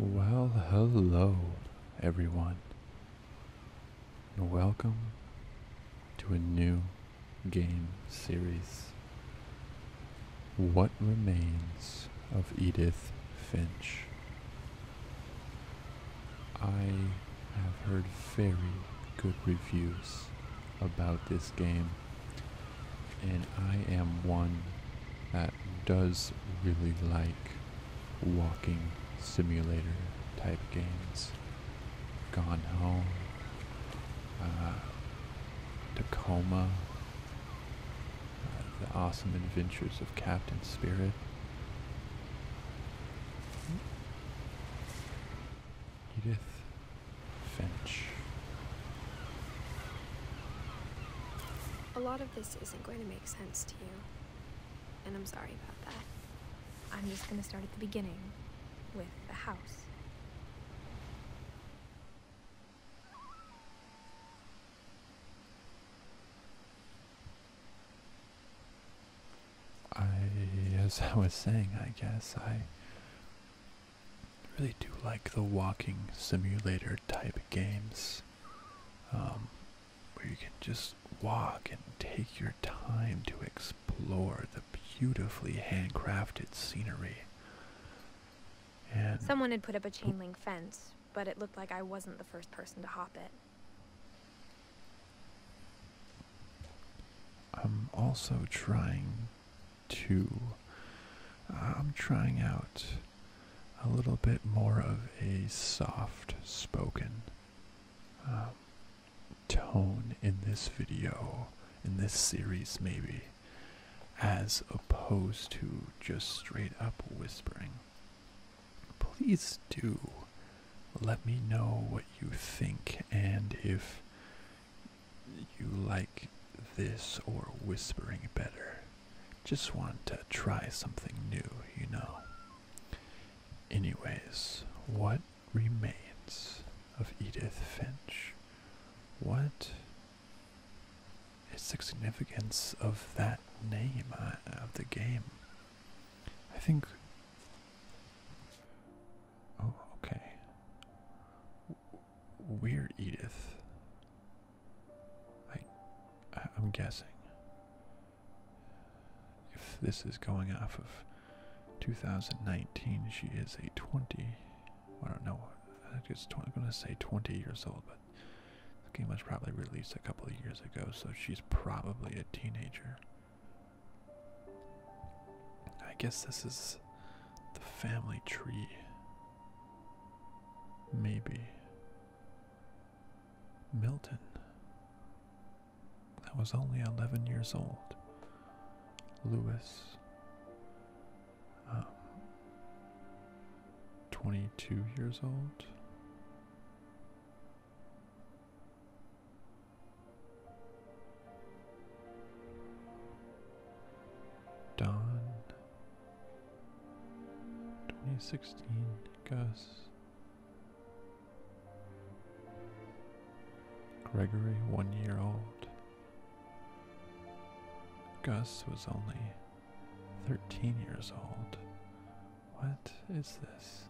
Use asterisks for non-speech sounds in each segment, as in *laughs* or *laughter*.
Well, hello, everyone and welcome to a new game series. What Remains of Edith Finch. I have heard very good reviews about this game, and I am one that does really like walking simulator type games. Gone Home, uh, Tacoma, uh, The Awesome Adventures of Captain Spirit. Edith Finch. A lot of this isn't going to make sense to you, and I'm sorry about that. I'm just gonna start at the beginning with the house. I, as I was saying, I guess I really do like the walking simulator type games um, where you can just walk and take your time to explore explore the beautifully handcrafted scenery. Someone had put up a chain link fence, but it looked like I wasn't the first person to hop it. I'm also trying to. Uh, I'm trying out a little bit more of a soft spoken. Um, tone in this video, in this series maybe, as opposed to just straight up whispering. Please do let me know what you think and if you like this or whispering better. Just want to try something new, you know. Anyways, what remains of Edith Finch. What is the significance of that name uh, of the game? I think. Oh, okay. we Edith. I'm guessing if this is going off of 2019, she is a 20. I don't know. I it's am going to say 20 years old, but the game was probably released a couple of years ago, so she's probably a teenager. I guess this is the family tree. Maybe. Milton that was only 11 years old, Louis. Um, 22 years old. Don, 2016, Gus, Gregory, one year old. Gus was only 13 years old. What is this?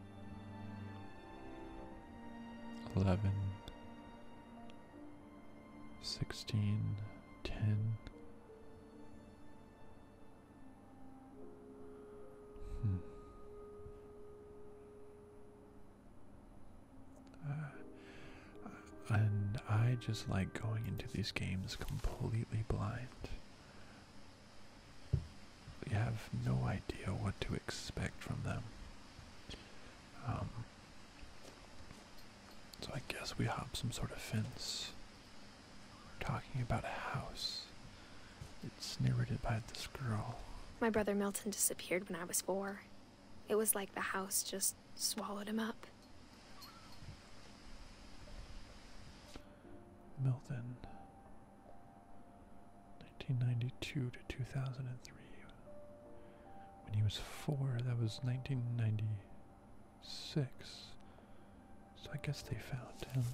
11, 16, 10. Hmm. Uh, and I just like going into these games completely blind. You have no idea what to expect from them. Um, so I guess we hop some sort of fence. We're talking about a house. It's narrated by this girl. My brother Milton disappeared when I was four. It was like the house just swallowed him up. Milton, 1992 to 2003. When he was four, that was 1996. So I guess they found him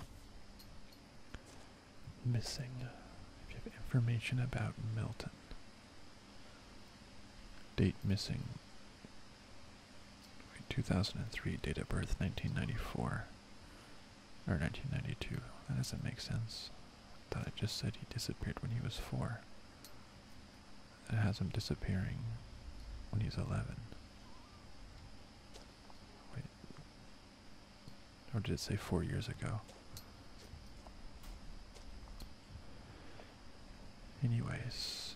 missing uh, have information about Milton. Date missing. 2003, date of birth 1994. Or 1992. That doesn't make sense. I thought I just said he disappeared when he was 4. That has him disappearing when he's 11. Wait, or did it say four years ago? Anyways,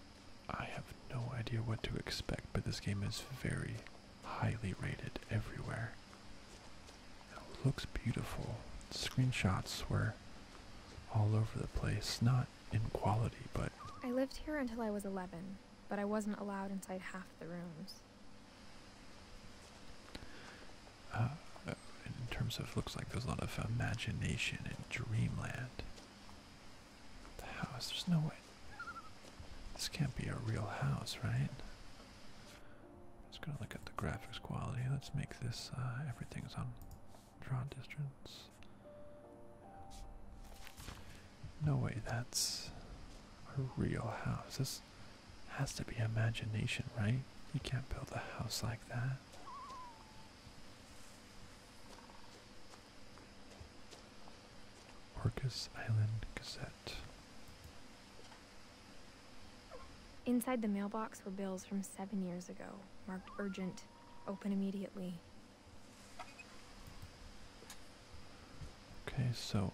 I have no idea what to expect, but this game is very highly rated everywhere. It looks beautiful. Screenshots were all over the place, not in quality, but. I lived here until I was 11, but I wasn't allowed inside half the rooms. Uh, in terms of looks like there's a lot of imagination and dreamland. The house, there's no way. This can't be a real house, right? I'm just look at the graphics quality. Let's make this uh, everything's on draw distance. No way, that's a real house. This has to be imagination, right? You can't build a house like that. Orcas Island Gazette. Inside the mailbox were bills from seven years ago, marked urgent, open immediately. Okay, so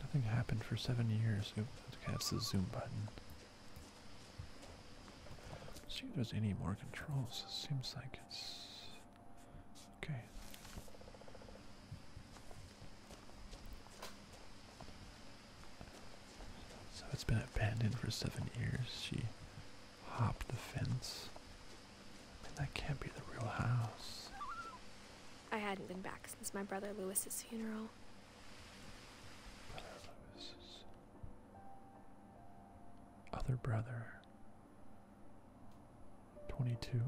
Nothing happened for seven years. Oops, that's the zoom button. see if there's any more controls. It seems like it's okay. So it's been abandoned for seven years. She hopped the fence. that can't be the real house. I hadn't been back since my brother Lewis's funeral. other brother. 22.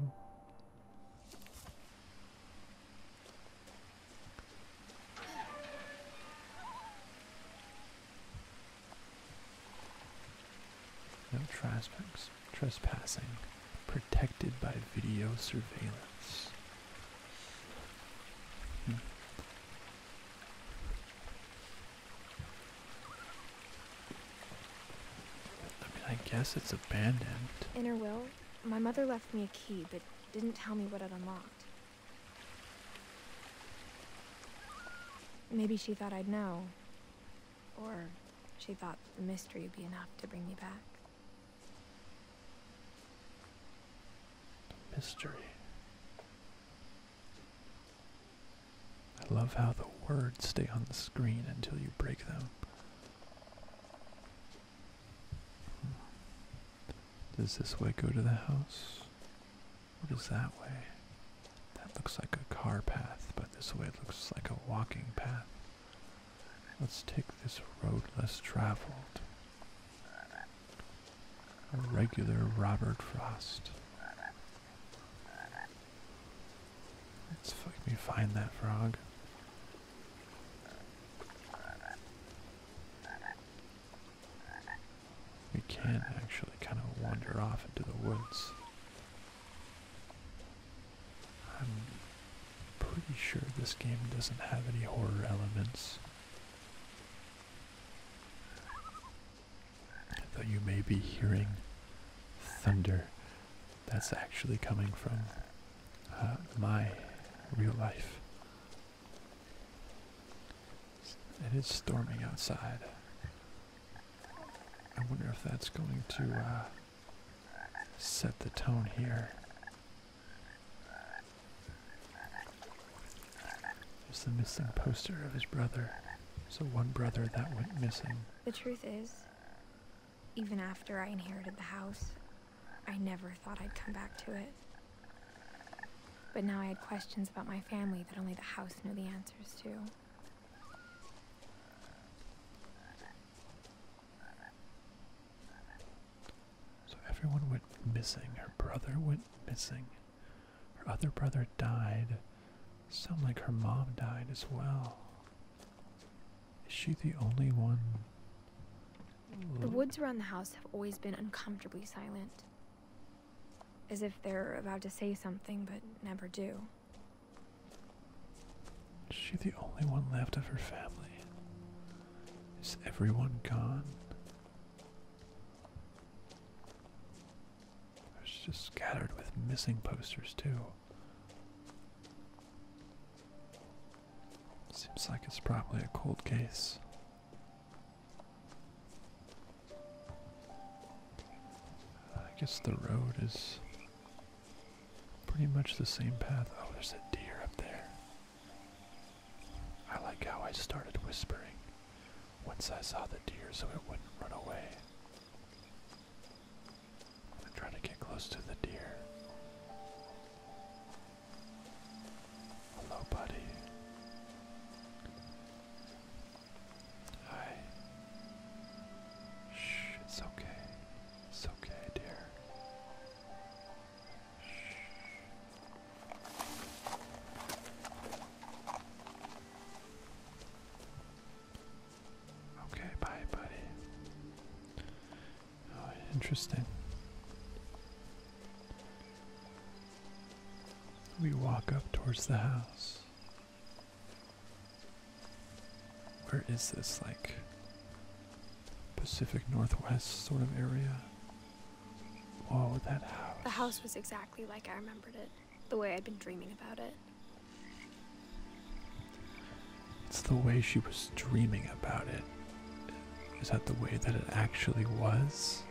No trespass trespassing protected by video surveillance. Hmm. I guess it's abandoned. Inner will, my mother left me a key, but didn't tell me what it unlocked. Maybe she thought I'd know. Or she thought the mystery would be enough to bring me back. Mystery. I love how the words stay on the screen until you break them. Does this way go to the house? What is that way? That looks like a car path, but this way looks like a walking path. Let's take this road less traveled. A regular Robert Frost. Let's let me find that frog. We can actually kind of wander off into the woods. I'm pretty sure this game doesn't have any horror elements. Though you may be hearing thunder, that's actually coming from uh, my real life. It is storming outside. I wonder if that's going to uh, set the tone here. There's the missing poster of his brother. So one brother that went missing. The truth is, even after I inherited the house, I never thought I'd come back to it. But now I had questions about my family that only the house knew the answers to. So everyone went missing. Her brother went missing. Her other brother died. Sound like her mom died as well. Is she the only one? The woods around the house have always been uncomfortably silent. As if they're about to say something but never do. Is she the only one left of her family? Is everyone gone? It's just scattered with missing posters too. Seems like it's probably a cold case. I guess the road is Pretty much the same path. Oh, there's a deer up there. I like how I started whispering once I saw the deer so it wouldn't run away. I'm trying to to get close to the deer. Hello, buddy. Hi. Shh, it's okay. It's okay, dear. Okay, bye, buddy. Oh, interesting. We walk up towards the house. Where is this? Like, Pacific Northwest sort of area. Oh, that house. The house was exactly like I remembered it, the way I'd been dreaming about it. It's the way she was dreaming about it. Is that the way that it actually was?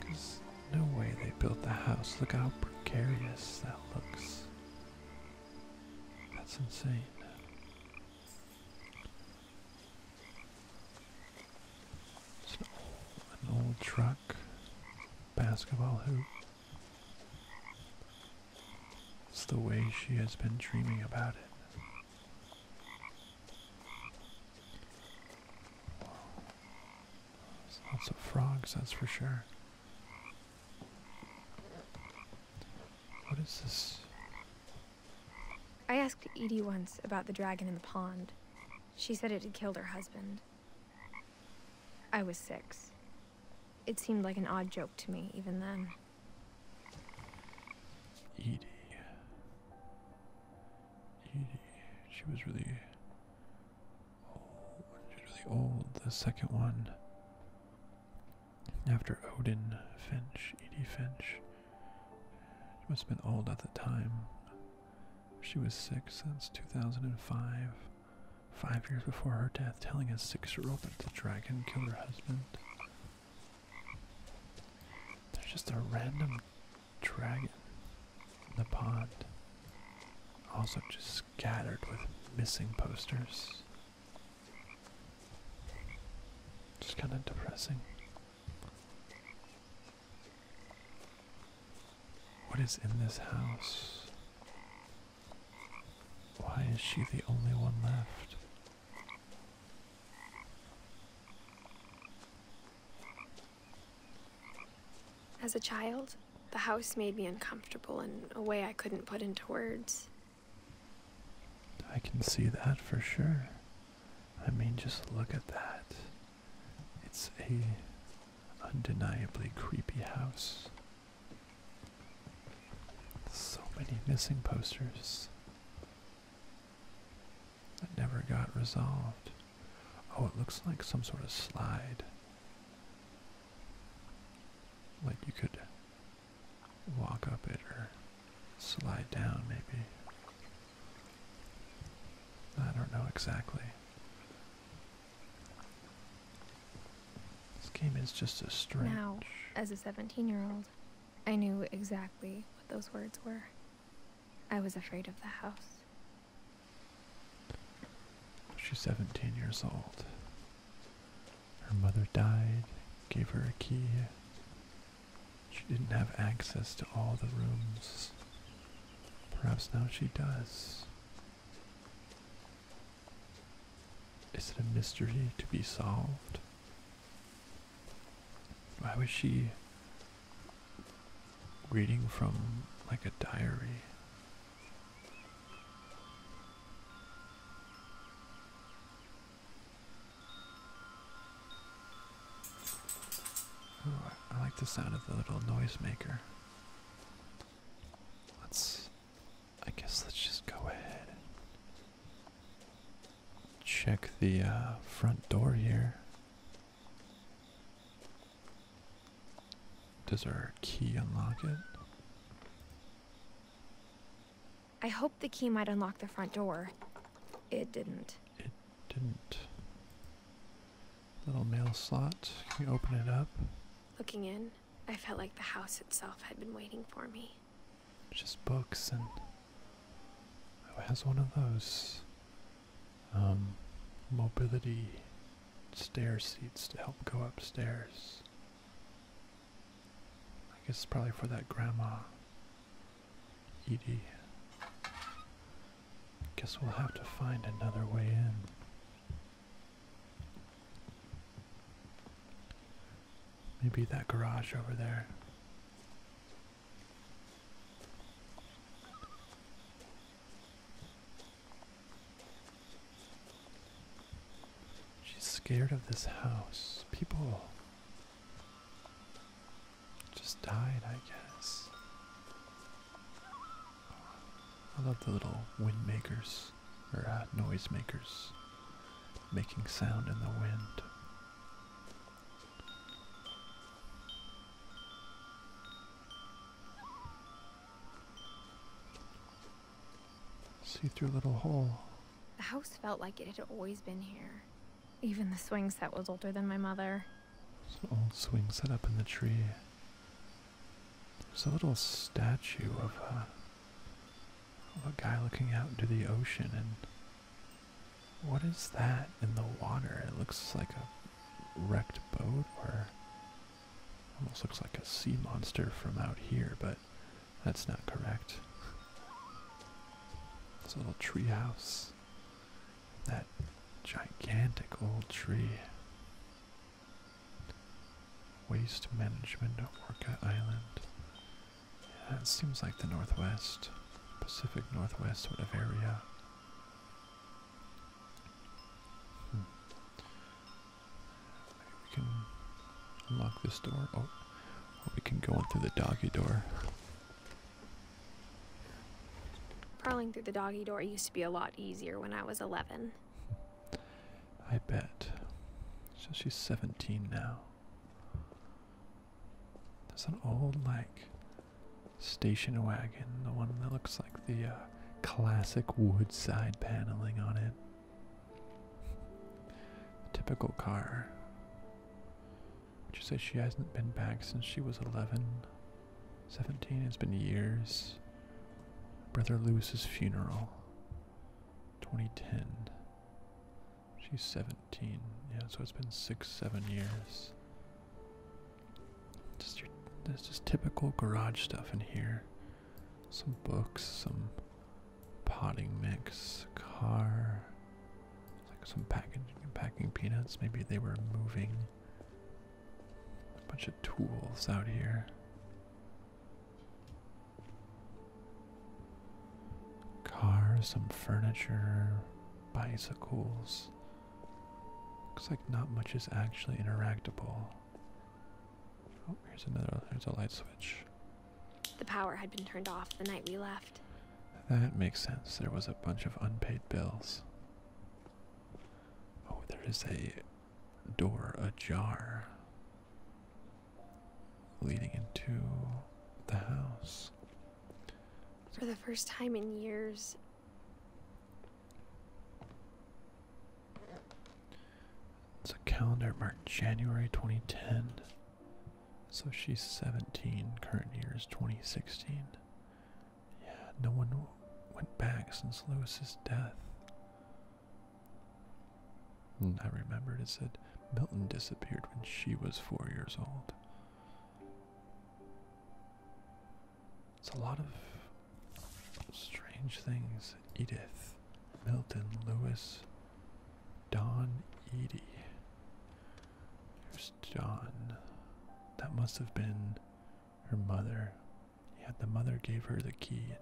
Because no way they built the house. Look how precarious that looks. That's insane. It's an old, truck, basketball hoop. It's the way she has been dreaming about it. Wow. lots of frogs, that's for sure. What is this? I asked Edie once about the dragon in the pond. She said it had killed her husband. I was six. It seemed like an odd joke to me, even then. Edie. Edie. She was really old. She was really old. The second one. After Odin, Finch, Edie Finch, it must have been old at the time. She was six since 2005, five years before her death, telling his six year old that the dragon killed her husband. There's just a random dragon in the pond, also just scattered with missing posters. Just kind of depressing. What is in this house? Why is she the only one left? As a child, the house made me uncomfortable in a way I couldn't put into words. I can see that for sure. I mean, just look at that. It's a undeniably creepy house. So many missing posters that never got resolved. Oh, it looks like some sort of slide. Like you could walk up it or slide down maybe. I don't know exactly. This game is just as strange. Now, as a 17 year old, I knew exactly what those words were. I was afraid of the house. She's 17 years old. Her mother died, gave her a key. She didn't have access to all the rooms. Perhaps now she does. Is it a mystery to be solved? Why was she reading from like a diary? I like the sound of the little noisemaker. Let's, I guess let's just go ahead and check the uh, front door here. Does our key unlock it? I hoped the key might unlock the front door. It didn't. It didn't. Little mail slot. Can you open it up? Looking in, I felt like the house itself had been waiting for me. Just books and. it has one of those. Um, mobility stair seats to help go upstairs. I guess it's probably for that grandma. Edie. Guess we'll have to find another way in. Maybe that garage over there. She's scared of this house. People just died, I guess. I love the little wind makers, or uh, noise makers, making sound in the wind. See through little hole. The house felt like it had always been here. Even the swing set was older than my mother. There's an old swing set up in the tree. There's a little statue uh, of a guy looking out into the ocean and what is that in the water? It looks like a wrecked boat or almost looks like a sea monster from out here, but that's not correct. This little tree house. That gigantic old tree. Waste management at Orca Island. Yeah, that seems like the Northwest. Pacific Northwest sort of area. Hmm. Maybe we can unlock this door. Oh, we can go in through the doggy door. Crawling through the doggy door used to be a lot easier when I was 11. *laughs* I bet. So she's 17 now. There's an old, like, station wagon, the one that looks like the uh, classic wood side paneling on it typical car. She says she hasn't been back since she was 11? 17? It's been years. Brother Lewis's funeral. 2010. She's 17. Yeah, so it's been six, seven years. Just your, there's just typical garage stuff in here. Some books, some potting mix, car, like some packaging packing peanuts. Maybe they were moving a bunch of tools out here. Car, some furniture, bicycles. Looks like not much is actually interactable. Oh, here's another. Here's a light switch. The power had been turned off the night we left. That makes sense. There was a bunch of unpaid bills. Oh, there is a door ajar leading into the house. For the first time in years. It's a calendar marked January 2010. So she's 17, current year is 2016. Yeah, no one went back since Lewis's death. Hmm. I remembered it said Milton disappeared when she was four years old. It's a lot of strange things. Edith, Milton, Lewis, Don Edie. There's John. That must have been her mother. Yeah, the mother gave her the key and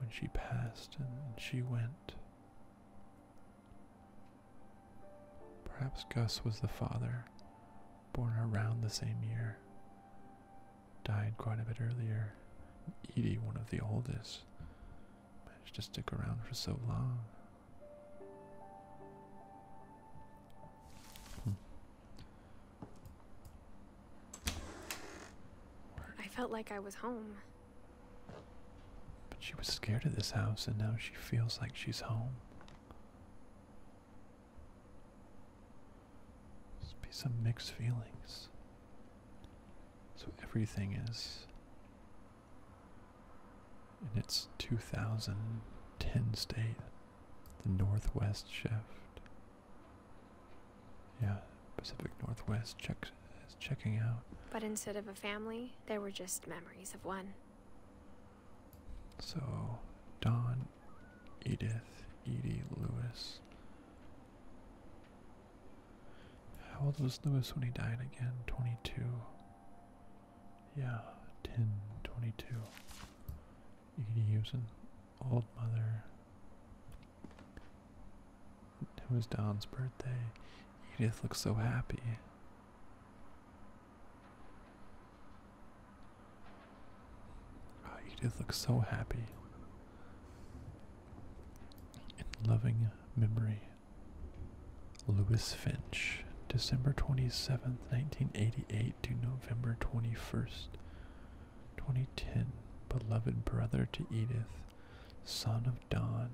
when she passed and she went. Perhaps Gus was the father, born around the same year. Died quite a bit earlier. Edie, one of the oldest managed to stick around for so long. Hmm. I felt like I was home. But she was scared of this house, and now she feels like she's home. It's be some mixed feelings. So everything is and its 2010 state, the Northwest Shift. Yeah, Pacific Northwest checks is checking out. But instead of a family, there were just memories of one. So, Don, Edith, Edie, Lewis, how old was Lewis when he died again? 22. Yeah, 10, 22. You could an old mother. It was Don's birthday. Edith looks so happy. Ah, Edith looks so happy. In loving memory. Lewis Finch, December 27th, 1988 to November 21st, 2010. Beloved brother to Edith, son of Don,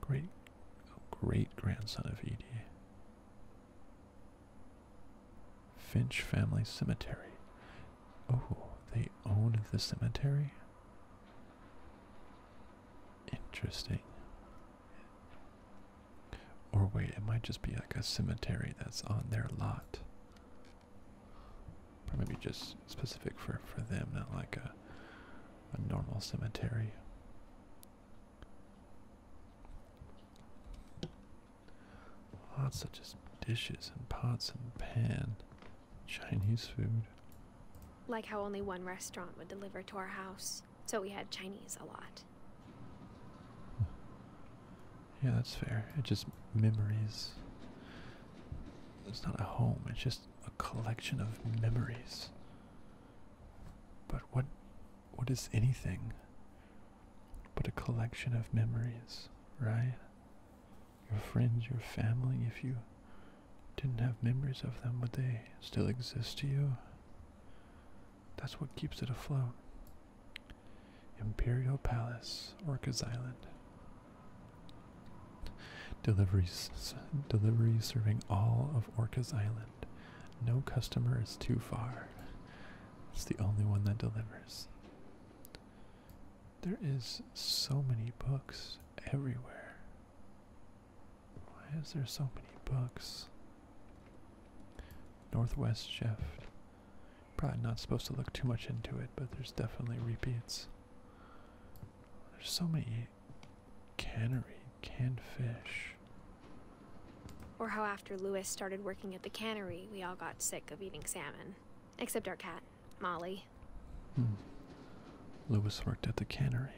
great great grandson of Edie. Finch Family Cemetery. Oh, they own the cemetery? Interesting. Or wait, it might just be like a cemetery that's on their lot. maybe just specific for, for them, not like a, a normal cemetery. Lots of just dishes and pots and pan. Chinese food. Like how only one restaurant would deliver to our house, so we had Chinese a lot. Yeah, that's fair. It just memories. It's not a home, it's just a collection of memories. But what what is anything but a collection of memories, right? Your friends, your family, if you didn't have memories of them, would they still exist to you? That's what keeps it afloat. Imperial Palace, Orcas Island. Deliveries, deliveries serving all of Orcas Island. No customer is too far. It's the only one that delivers. There is so many books everywhere. Why is there so many books? Northwest shift. Probably not supposed to look too much into it, but there's definitely repeats. There's so many cannery, canned fish. Or how after Lewis started working at the cannery, we all got sick of eating salmon. Except our cat, Molly. Hmm. Lewis worked at the cannery.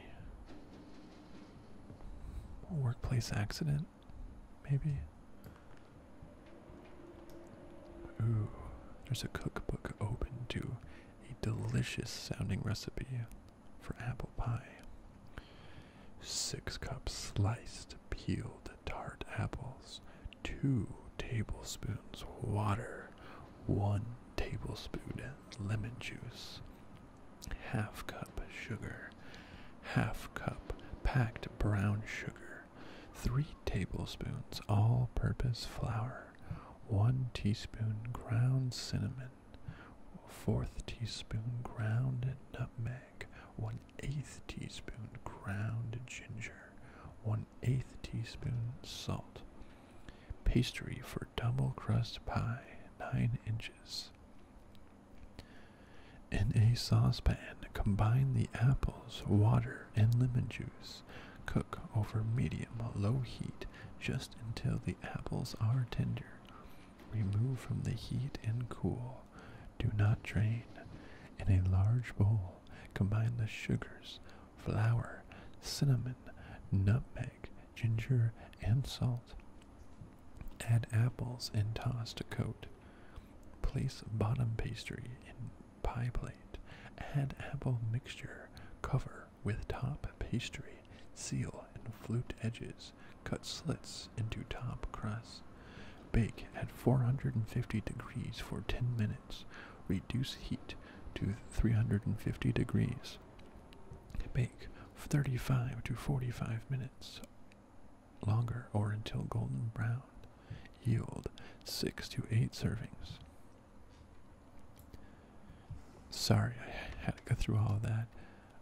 workplace accident, maybe? Ooh, there's a cookbook open to a delicious sounding recipe for apple pie. Six cups sliced peeled tart apples, two tablespoons water, one tablespoon lemon juice, half cup sugar, half cup packed brown sugar, three tablespoons all purpose flour, one teaspoon ground cinnamon, fourth teaspoon ground nutmeg, one eighth teaspoon ground ginger, one eighth teaspoon salt. Pastry for double crust pie, 9 inches. In a saucepan, combine the apples, water, and lemon juice. Cook over medium-low heat just until the apples are tender. Remove from the heat and cool. Do not drain. In a large bowl, combine the sugars, flour, cinnamon, nutmeg, ginger, and salt. Add apples and toss to coat. Place bottom pastry in pie plate. Add apple mixture. Cover with top pastry. Seal and flute edges. Cut slits into top crust. Bake at 450 degrees for 10 minutes. Reduce heat to 350 degrees. Bake 35 to 45 minutes longer or until golden brown. Yield 6 to 8 servings. Sorry I had to go through all of that.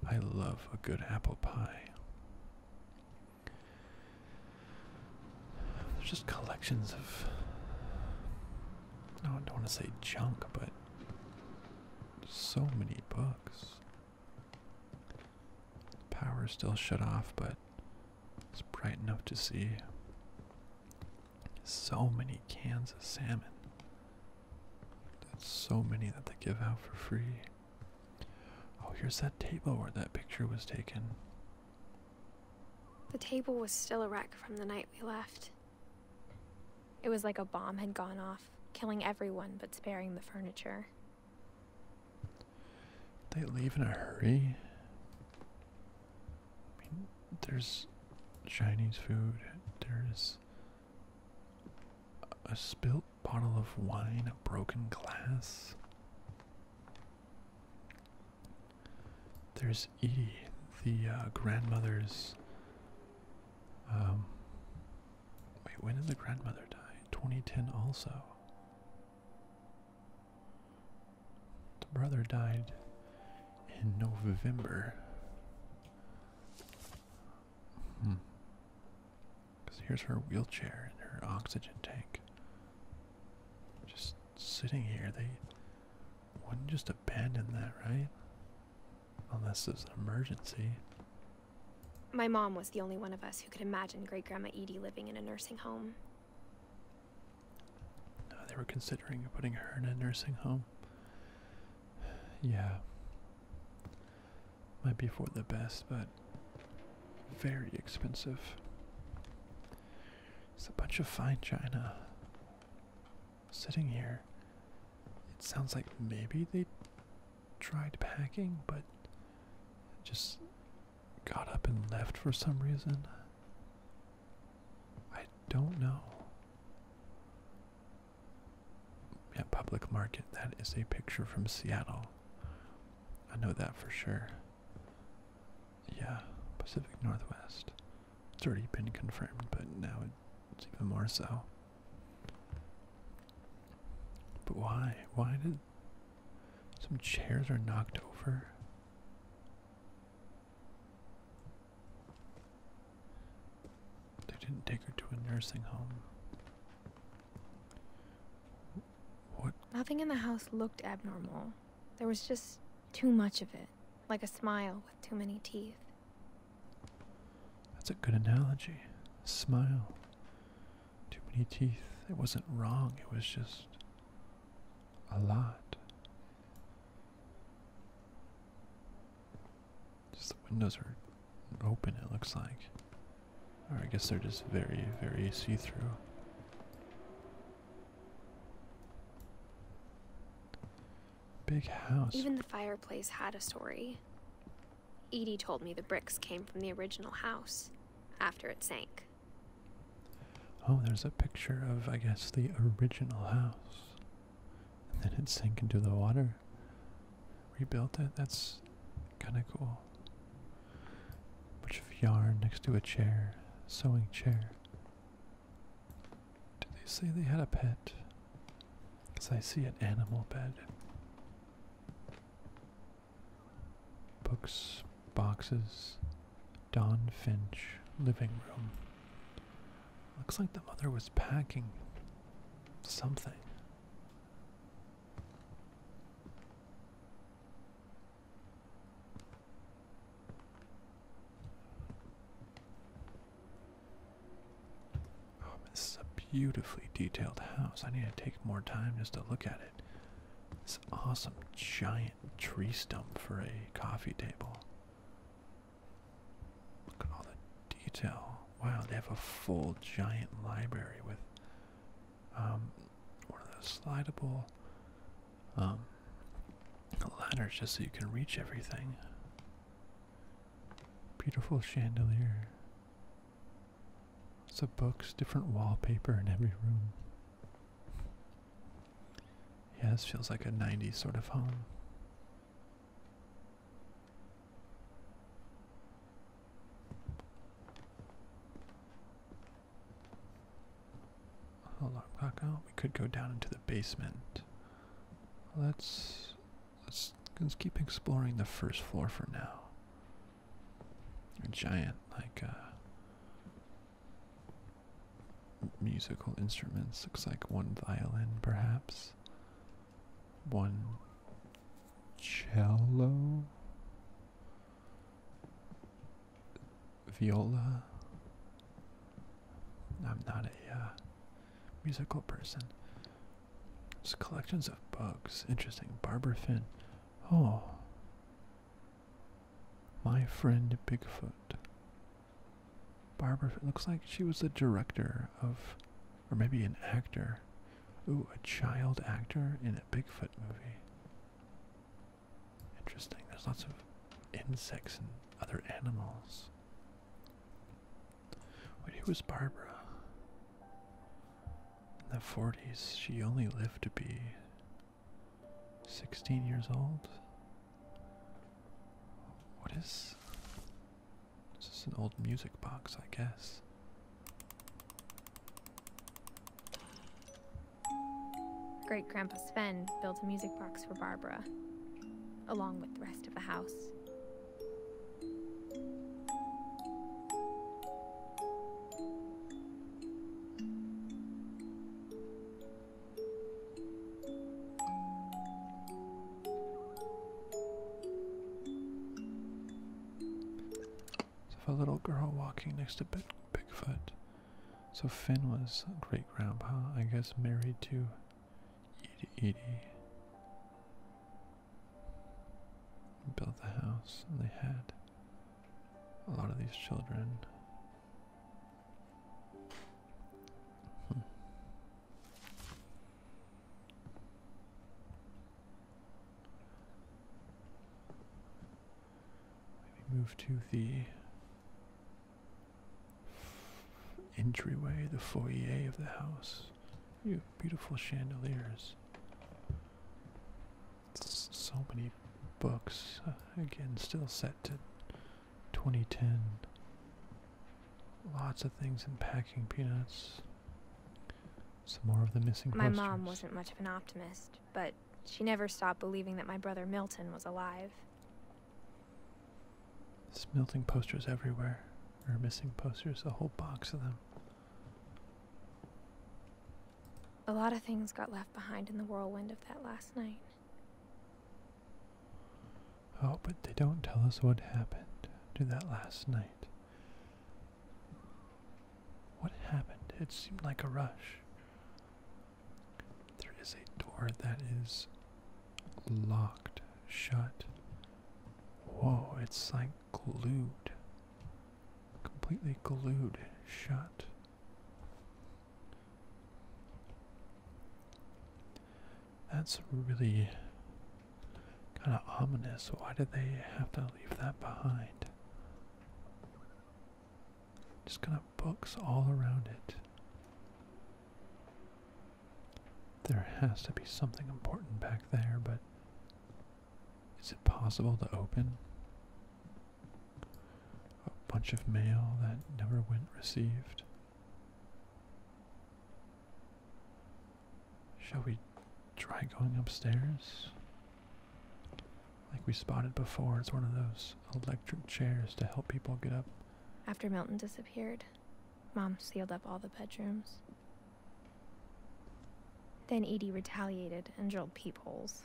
I love a good apple pie. There's just collections of. No, I don't want to say junk, but so many books. Power's still shut off, but it's bright enough to see. So many cans of salmon. That's so many that they give out for free. Oh, here's that table where that picture was taken. The table was still a wreck from the night we left. It was like a bomb had gone off, killing everyone but sparing the furniture. They leave in a hurry. I mean, there's Chinese food. There's a spilt bottle of wine, a broken glass. There's Edie, the uh, grandmother's um, wait, when did the grandmother die? 2010 also. The brother died in November. Hmm. Because here's her wheelchair and her oxygen tank. Just sitting here, they wouldn't just abandon that, right? Unless there's an emergency. My mom was the only one of us who could imagine Great Grandma Edie living in a nursing home. they were considering putting her in a nursing home. Yeah. Might be for the best, but very expensive. It's a bunch of fine china sitting here, it sounds like maybe they tried packing, but just got up and left for some reason. I don't know. Yeah, public market. That is a picture from Seattle. I know that for sure. Yeah, Pacific Northwest. It's already been confirmed, but now it it's even more so. But why? Why did some chairs are knocked over? They didn't take her to a nursing home. What? Nothing in the house looked abnormal. There was just too much of it, like a smile with too many teeth. That's a good analogy. Smile. Too many teeth. It wasn't wrong, it was just a lot. Just the windows are open, it looks like. Or I guess they're just very, very see through. Big house. Even the fireplace had a story. Edie told me the bricks came from the original house after it sank. Oh, there's a picture of, I guess, the original house. And then it sank into the water. Rebuilt it. That's kind of cool. Bunch of yarn next to a chair. Sewing chair. Did they say they had a pet? Because I see an animal bed. Books, boxes, Don Finch, living room. Looks like the mother was packing something. Oh, this is a beautifully detailed house. I need to take more time just to look at it. This awesome giant tree stump for a coffee table. Look at all the detail. Wow, they have a full giant library with um, one of those slidable um, ladders just so you can reach everything. Beautiful chandelier. Lots of books, different wallpaper in every room. Yeah, this feels like a 90s sort of home. Hold on, Paco. We could go down into the basement. Let's let's, let's keep exploring the first floor for now. A giant, like, uh, musical instruments. Looks like one violin, perhaps. One cello. Viola. I'm not a uh, musical person. Just collections of bugs. Interesting. Barbara fin. Oh. My friend Bigfoot. Barbara looks like she was the director of, or maybe an actor. Ooh, a child actor in a Bigfoot movie. Interesting. There's lots of insects and other animals. Wait, who was Barbara? In the 40s, she only lived to be 16 years old? What is. this? This is an old music box, I guess. Great Grandpa Sven built a music box for Barbara, along with the rest of the house. So a little girl walking next to Bigfoot. So Finn was great grandpa, I guess, married to they Built the house, and they had a lot of these children. Hmm. Maybe move to the entryway, the foyer of the house. You beautiful chandeliers. so many books. Uh, again, still set to 2010. Lots of things in packing peanuts. Some more of the missing My mom wasn't much of an optimist, but she never stopped believing that my brother Milton was alive. There's posters everywhere. Or missing posters, a whole box of them. A lot of things got left behind in the whirlwind of that last night. Oh, but they don't tell us what happened to that last night. What happened? It seemed like a rush. There is a door that is locked shut. Whoa, it's like glued. Completely glued shut. That's really kind of ominous. Why did they have to leave that behind? Just kind of books all around it. There has to be something important back there, but is it possible to open? A bunch of mail that never went received. Shall we try going upstairs? Like we spotted before, it's one of those electric chairs to help people get up. After Milton disappeared, Mom sealed up all the bedrooms. Then Edie retaliated and drilled peepholes.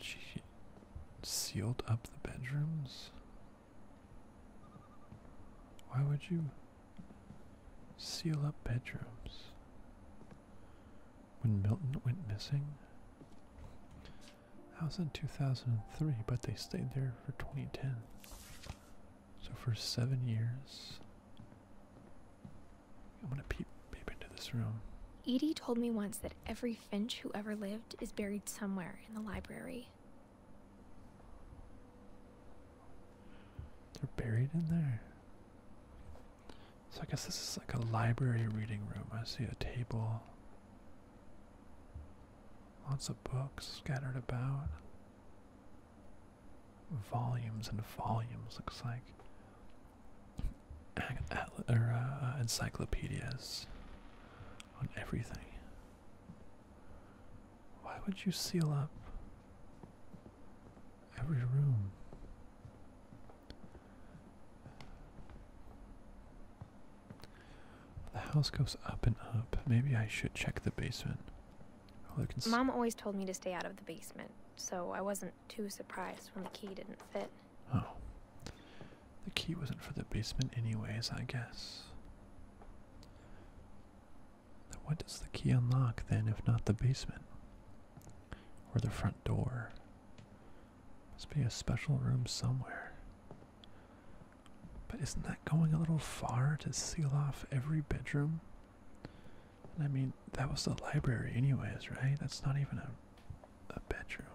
She sealed up the bedrooms? Why would you seal up bedrooms? When Milton went missing? That was in 2003, but they stayed there for 2010. So for seven years. I'm gonna peep, peep into this room. Edie told me once that every Finch who ever lived is buried somewhere in the library. They're buried in there. So I guess this is like a library reading room. I see a table. Lots of books scattered about. Volumes and volumes, looks like. Uh, uh, encyclopedias on everything. Why would you seal up every room? The house goes up and up. Maybe I should check the basement. Mom always told me to stay out of the basement, so I wasn't too surprised when the key didn't fit. Oh. The key wasn't for the basement, anyways, I guess. what does the key unlock then, if not the basement? Or the front door? Must be a special room somewhere. But isn't that going a little far to seal off every bedroom? I mean, that was the library, anyways, right? That's not even a, a bedroom.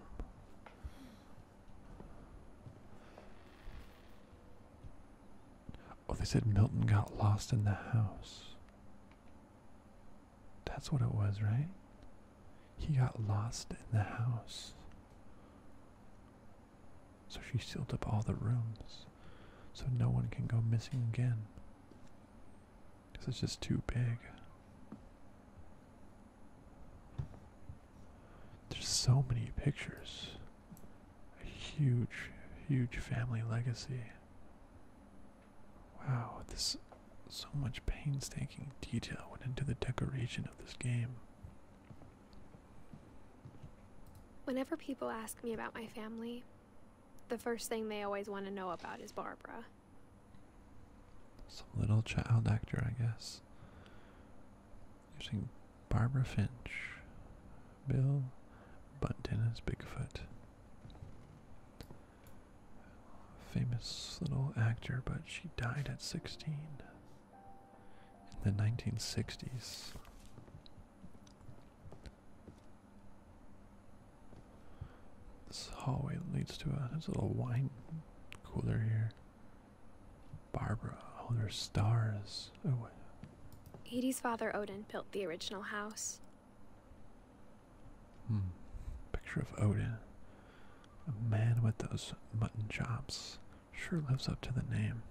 Oh, they said Milton got lost in the house. That's what it was, right? He got lost in the house. So she sealed up all the rooms so no one can go missing again. Because it's just too big. There's so many pictures. A huge, huge family legacy. Wow, this so much painstaking detail went into the decoration of this game. Whenever people ask me about my family, the first thing they always want to know about is Barbara. Some little child actor, I guess. You're Barbara Finch, Bill Bunton as Bigfoot famous little actor, but she died at 16 in the 1960s. This hallway leads to a, little wine cooler here. Barbara, oh, there's stars. Oh, Edie's father Odin built the original house. Hmm. Picture of Odin. A man with those mutton chops sure lives up to the name.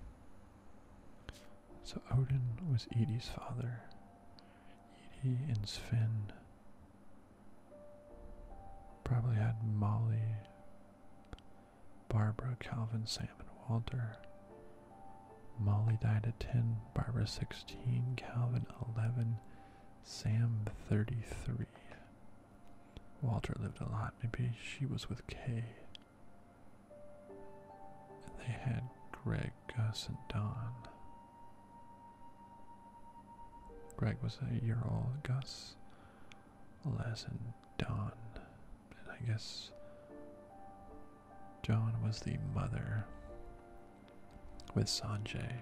So Odin was Edie's father. Edie and Sven probably had Molly, Barbara, Calvin, Sam, and Walter. Molly died at 10, Barbara 16, Calvin 11, Sam 33. Walter lived a lot. Maybe she was with Kay. they had Greg, Gus, and Don. Greg was a year old, Gus, less than Don. And I guess John was the mother with Sanjay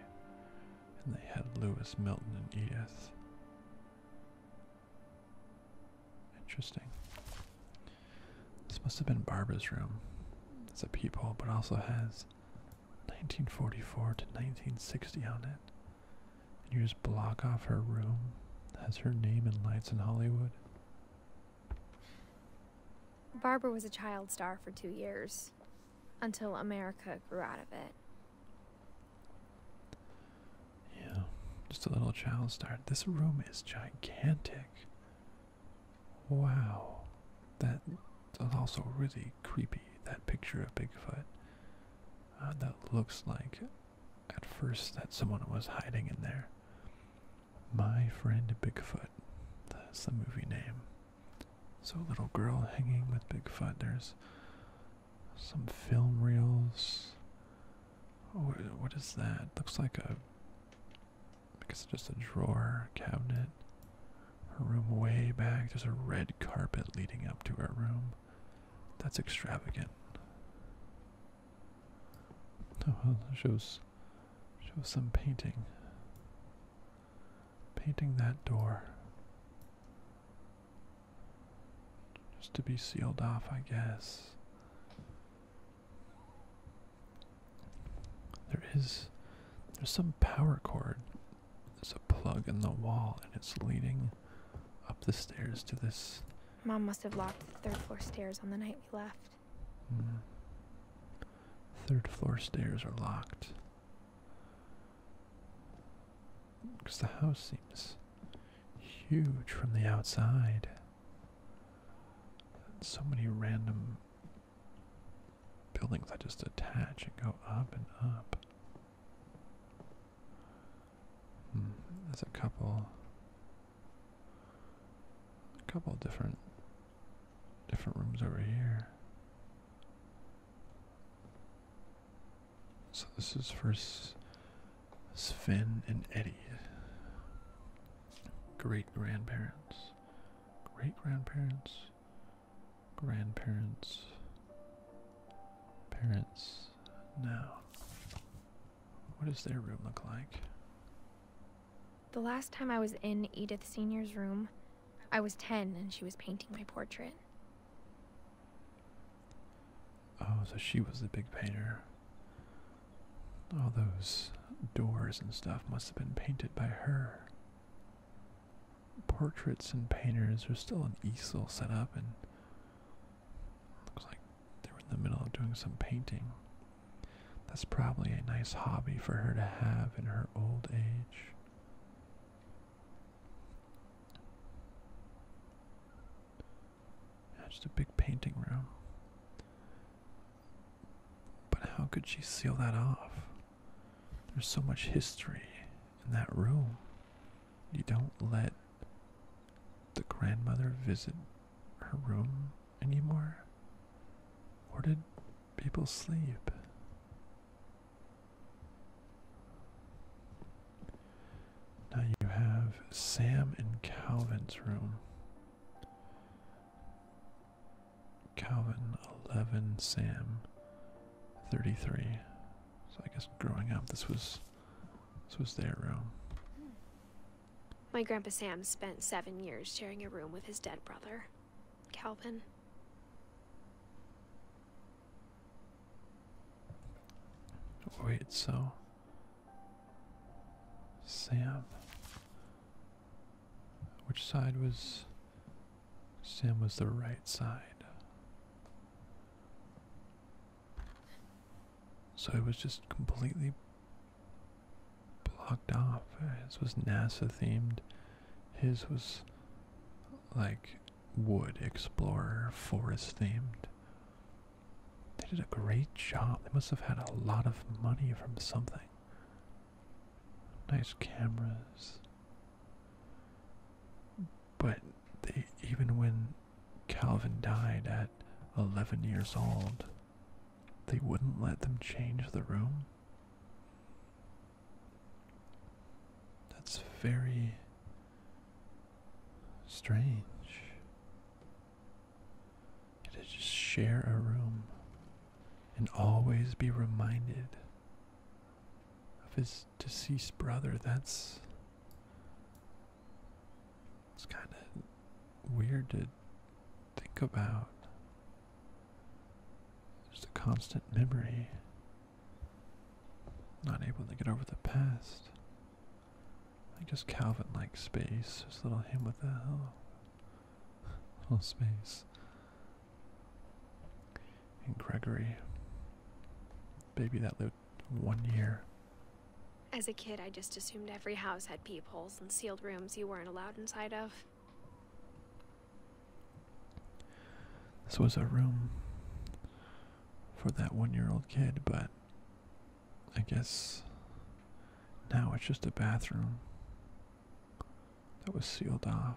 and they had Lewis, Milton, and Edith. Interesting. This must have been Barbara's room. It's a peephole, but also has 1944 to 1960 on it. And you just block off her room. Has her name and lights in Hollywood. Barbara was a child star for two years, until America grew out of it. Yeah, just a little child start. This room is gigantic. Wow. that's also really creepy, that picture of Bigfoot. Uh, that looks like at first that someone was hiding in there. My friend Bigfoot. That's the movie name. So, little girl hanging with Bigfoot. There's some film reels. Oh, what is that? Looks like a. I guess it's just a drawer cabinet. A room way back. There's a red carpet leading up to our room. That's extravagant. Oh, well, shows shows some painting. Painting that door. Just to be sealed off, I guess. There is. There's some power cord. There's a plug in the wall, and it's leading up the stairs to this. Mom must have locked the third floor stairs on the night we left. Hmm. Third floor stairs are locked. Because the house seems huge from the outside. And so many random buildings that just attach and go up and up. Hmm, there's a couple a couple different different rooms over here. So this is for Sven and Eddie. Great grandparents. Great grandparents. Grandparents. Parents. Now, what does their room look like? The last time I was in Edith Sr.'s room, I was 10 and she was painting my portrait. Oh, so she was the big painter. All those doors and stuff must have been painted by her. Portraits and painters are still an easel set up, and looks like they were in the middle of doing some painting. That's probably a nice hobby for her to have in her old age just a big painting room. But how could she seal that off? There's so much history in that room. You don't let the grandmother visit her room anymore? Or did people sleep? Now you have Sam and Calvin's room. Calvin 11, Sam 33. So I guess growing up this was this was their room. My grandpa Sam spent 7 years sharing a room with his dead brother, Calvin. Wait, so Sam. Which side was. Sam was the right side. So it was just completely blocked off. His was NASA themed. His was like wood explorer, forest themed. They did a great job. They must have had a lot of money from something. Nice cameras. But they, even when Calvin died at 11 years old, they wouldn't let them change the room. That's very Strange. To just share a room and always be reminded of his deceased brother. That's. It's kind of weird to think about. Just a constant memory not able to get over the past. I guess Calvin likes space. This little him with the little space. And Gregory. Baby that lived one year. As a kid, I just assumed every house had peepholes and sealed rooms you weren't allowed inside of. This was a room for that one year old kid, but I guess now it's just a bathroom that was sealed off.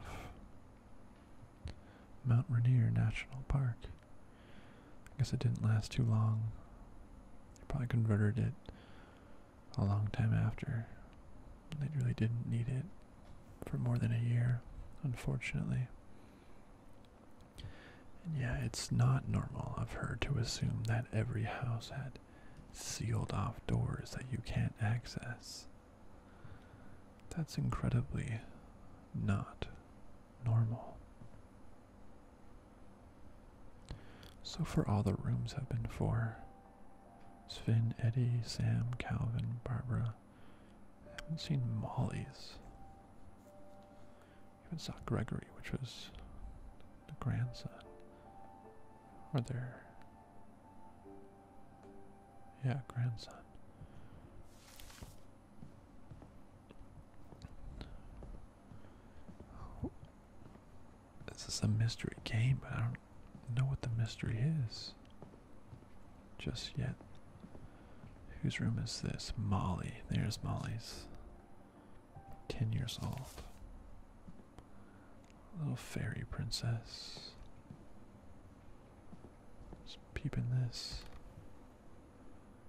Mount Rainier National Park. I guess it didn't last too long. They probably converted it a long time after. They really didn't need it for more than a year, unfortunately yeah, it's not normal of her to assume that every house had sealed off doors that you can't access. That's incredibly not normal. So for all the rooms have been for: Sven, Eddie, Sam, Calvin, Barbara, I haven't seen Molly's. Even saw Gregory, which was the grandson. Or their yeah, grandson. This is a mystery game, but I don't know what the mystery is just yet. Whose room is this? Molly. There's Molly's. Ten years old. Little fairy princess. Just peeping this.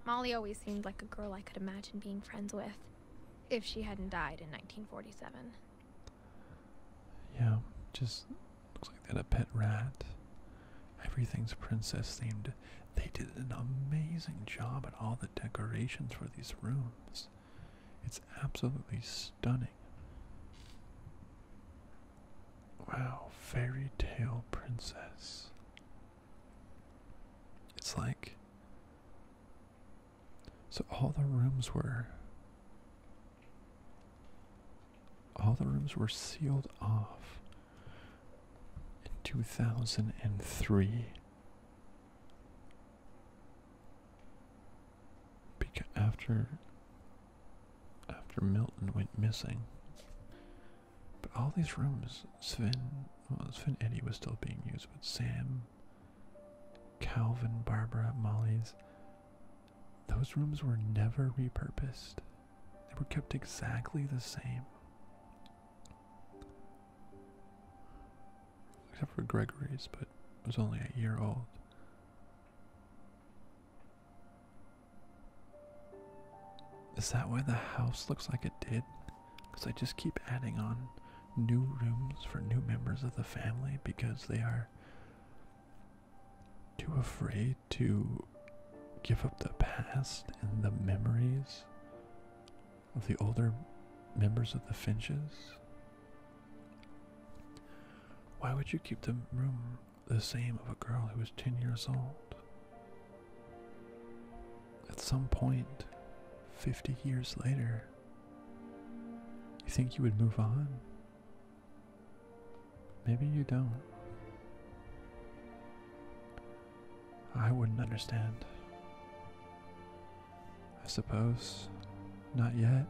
Molly always seemed like a girl I could imagine being friends with, if she hadn't died in 1947. Yeah, just looks like they had a pet rat. Everything's princess themed. They did an amazing job at all the decorations for these rooms. It's absolutely stunning. Wow, fairy tale princess. It's like. So all the rooms were. All the rooms were sealed off in 2003 because after after Milton went missing but all these rooms Sven well Sven Eddie was still being used but Sam Calvin Barbara Molly's those rooms were never repurposed they were kept exactly the same. Except for Gregory's, but it was only a year old. Is that why the house looks like it did? Because I just keep adding on new rooms for new members of the family because they are too afraid to give up the past and the memories of the older members of the Finches? Why would you keep the room the same of a girl who was 10 years old? At some point, 50 years later, you think you would move on? Maybe you don't. I wouldn't understand. I suppose not yet.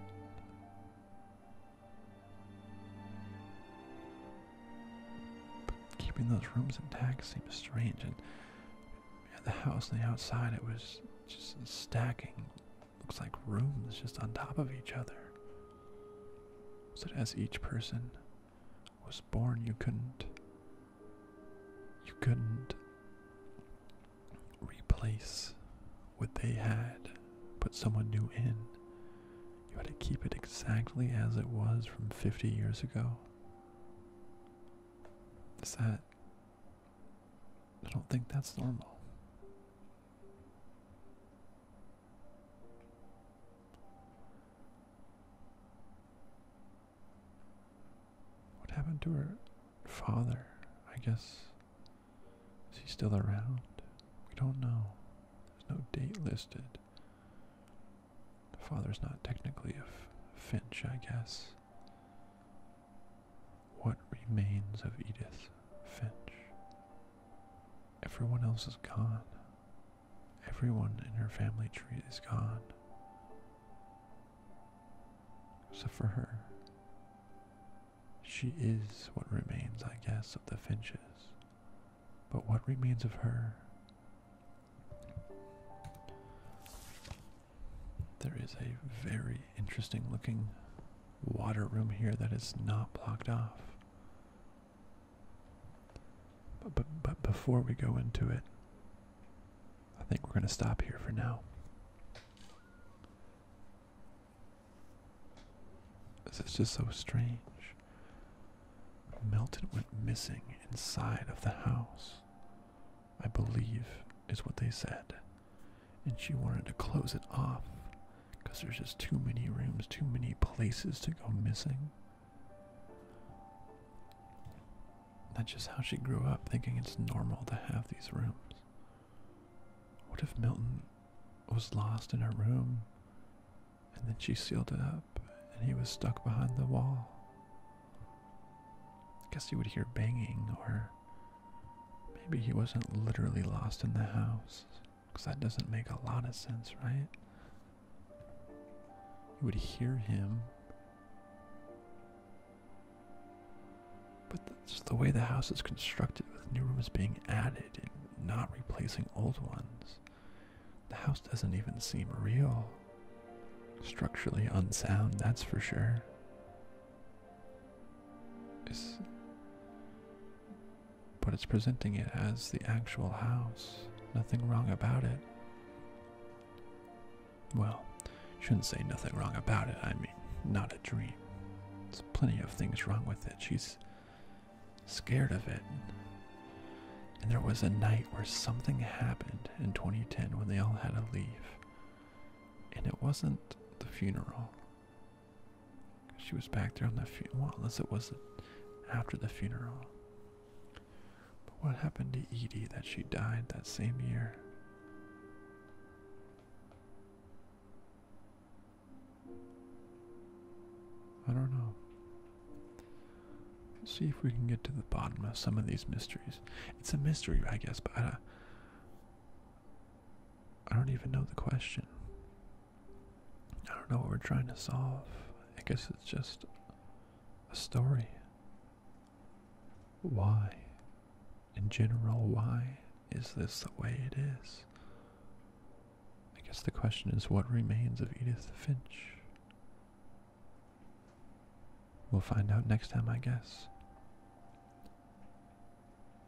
But keeping those rooms intact seems strange, and the house on the outside, it was just stacking. Looks like rooms just on top of each other. So as each person was born, you couldn't. You couldn't replace what they had, put someone new in. You had to keep it exactly as it was from 50 years ago. Is that. I don't think that's normal. What happened to her father? I guess. Is he still around? We don't know. There's no date listed. The father's not technically a Finch, I guess. What remains of Edith Finch? Everyone else is gone. Everyone in her family tree is gone. Except for her. She is what remains, I guess, of the Finches. But what remains of her? There is a very interesting looking water room here that is not blocked off. But, but, but before we go into it, I think we're going to stop here for now. This is just so strange. Melton went missing inside of the house, I believe, is what they said. And she wanted to close it off because there's just too many rooms, too many places to go missing. That's just how she grew up, thinking it's normal to have these rooms. What if Milton was lost in her room and then she sealed it up and he was stuck behind the wall? I guess he would hear banging, or maybe he wasn't literally lost in the house, because that doesn't make a lot of sense, right? You would hear him. But it's the way the house is constructed, with new rooms being added and not replacing old ones. The house doesn't even seem real. Structurally unsound, that's for sure. but it's presenting it as the actual house. Nothing wrong about it. Well, shouldn't say nothing wrong about it. I mean, not a dream. There's plenty of things wrong with it. She's scared of it. And there was a night where something happened in 2010 when they all had to leave. And it wasn't the funeral. She was back there on the funeral. Well, unless it was after the funeral. But what happened to Edie that she died that same year? I don't know. see if we can get to the bottom of some of these mysteries. It's a mystery, I guess, but I don't even know the question. I don't know what we're trying to solve. I guess it's just a story. Why? In general, why is this the way it is? I guess the question is what remains of Edith Finch? We'll find out next time, I guess.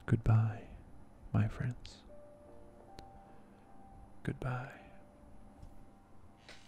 Goodbye, my friends. Goodbye.